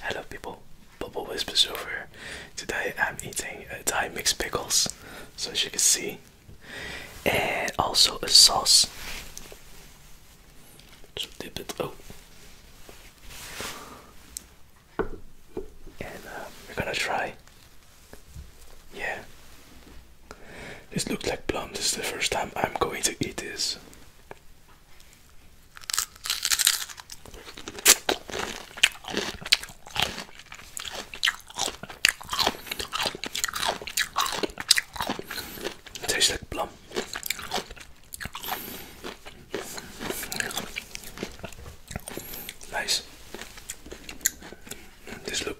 Hello people, Bubble Whispers over. Today I'm eating a uh, Thai mixed pickles, so as you can see, and also a sauce. So dip it out. Oh. And uh, we're gonna try. Yeah. This looks like plum. This is the first time I'm going to eat this. Tastes like plum. Nice. This look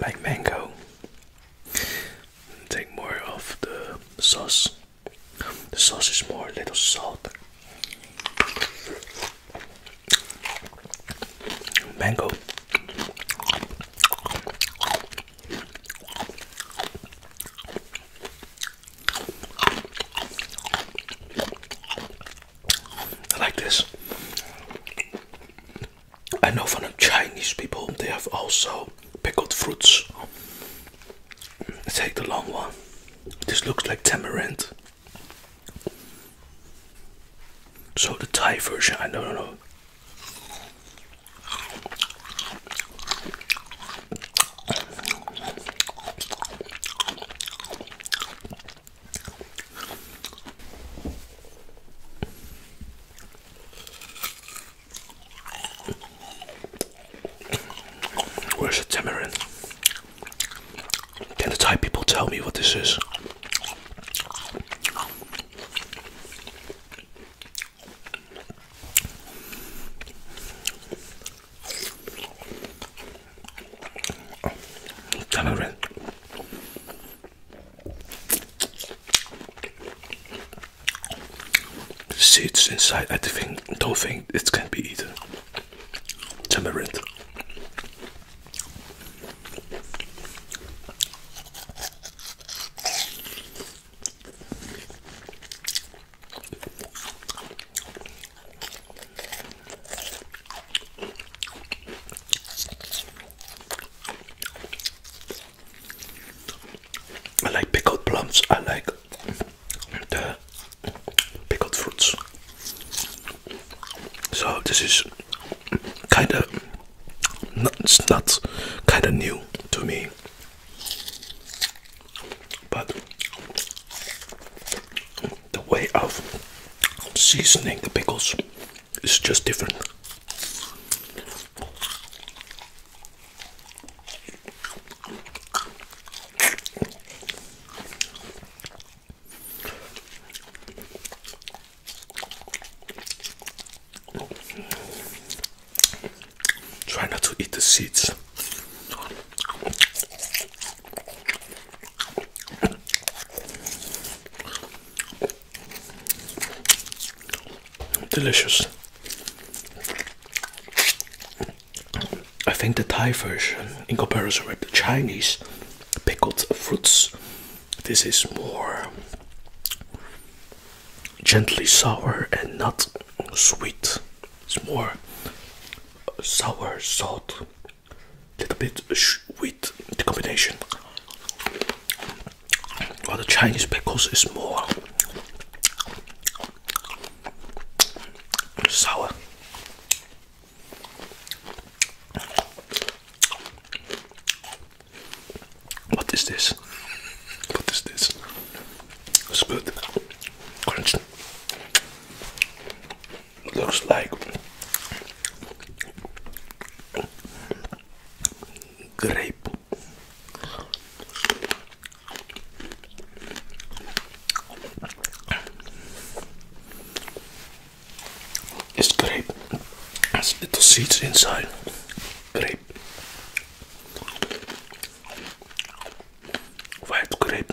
like mango take more of the sauce. The sauce is more a little salt. Mango. I like this. I know from the Chinese people they have also pickled fruits. Take the long one. This looks like tamarind. So the Thai version, I don't know. Where's the tamarind? Can the Thai people tell me what this is? Tamarind. The seeds inside, I think, don't think it can be eaten. Temperate. I like pickled plums. I like the pickled fruits. So this is kind of it's not kind of new to me, but the way of seasoning the pickles is just different. Try not to eat the seeds. Delicious. I think the Thai version, in comparison with the Chinese pickled fruits, this is more gently sour and not sweet. It's more sour, salt, little bit sweet the combination. While the Chinese pickles is more sour. What is this? What is this? good. Crunch looks like grape. It's grape. It's little seeds inside. Grape. White grape.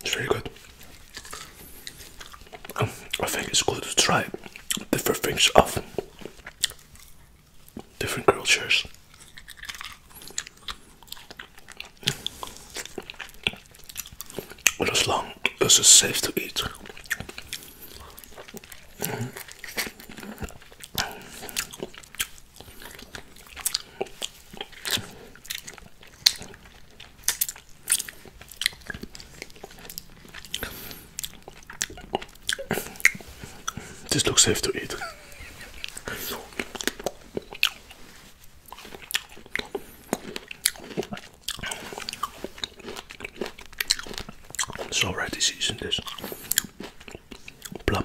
It's very good. Um, I think it's good to try different things of different cultures. But as long as it's safe to eat. This looks safe to eat. So right this this plum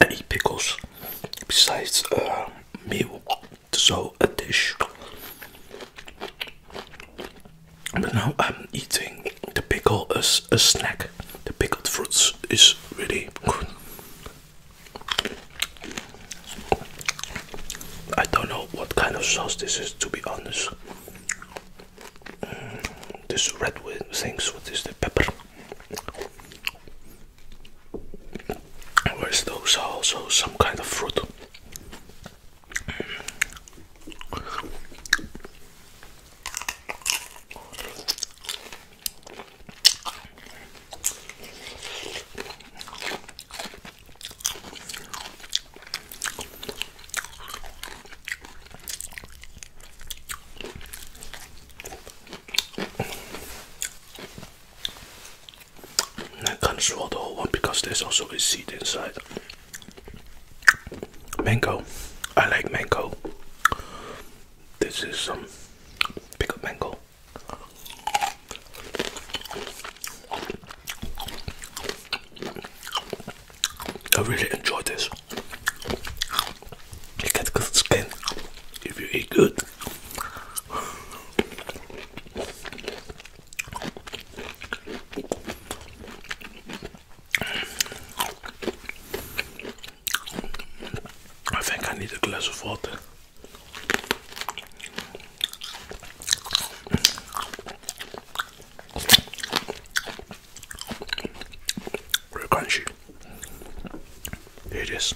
I eat pickles besides a uh, meal, so a dish. But now I'm eating the pickle as uh, a snack. The pickled fruits is really good. I don't know what kind of sauce this is to be honest. Mm, this red thing, what is the pepper? Where's those are also some kind of fruit. I can't swallow the whole one because there's also a seed inside. Mango. I like mango. This is some um, pickled mango. I really enjoy this. You get good skin if you eat good. I think I need a glass of water. Real crunchy. Here it is.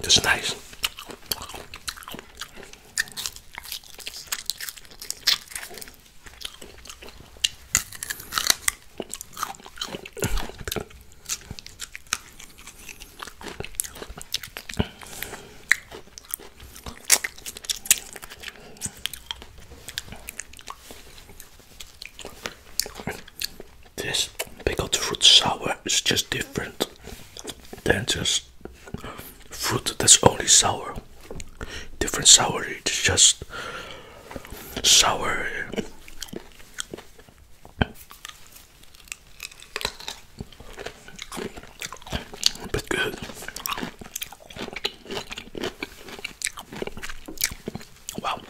It's nice. This pickled fruit sour is just different than just fruit that's only sour. Different sour, it's just sour. But good. Wow.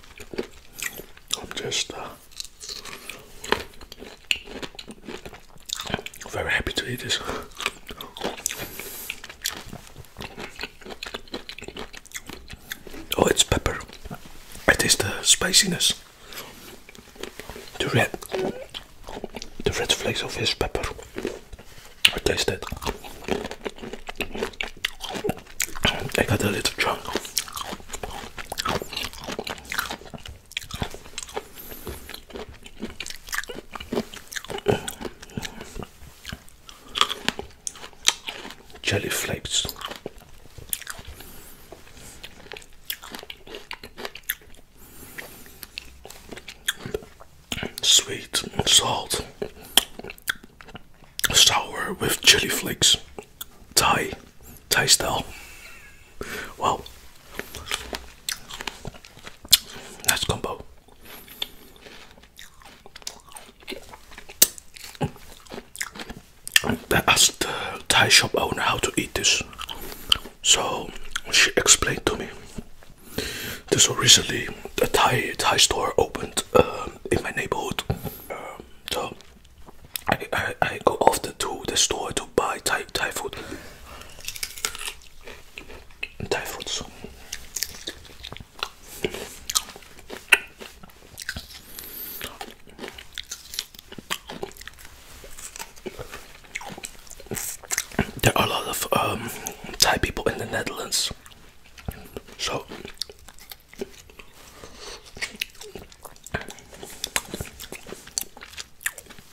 I'm just uh, very happy to eat this. Oh, it's pepper. It is the spiciness. The red, the red flakes of his pepper. I taste it. I got a little drunk jelly flakes. Sweet, salt, sour with chili flakes, Thai, Thai style. Wow, nice combo. I asked the Thai shop owner how to eat this. So she explained to me. So recently, a Thai Thai store opened uh, in my neighborhood. Um, so I, I I go often to the store to buy Thai Thai food. Thai fruits. There are a lot of um, Thai people in the Netherlands, so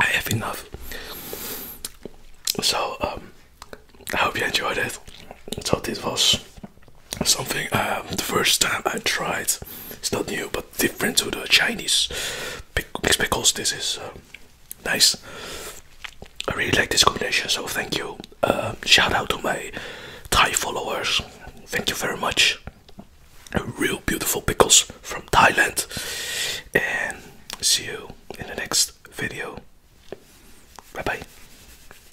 I have enough. So, um, I hope you enjoyed it. So, this was something um, the first time I tried. It's not new, but different to the Chinese because this is uh, nice. I really like this combination, so thank you. Um, shout out to my Thai followers. Thank you very much. Real beautiful pickles from Thailand. And see you in the next video. Bye bye.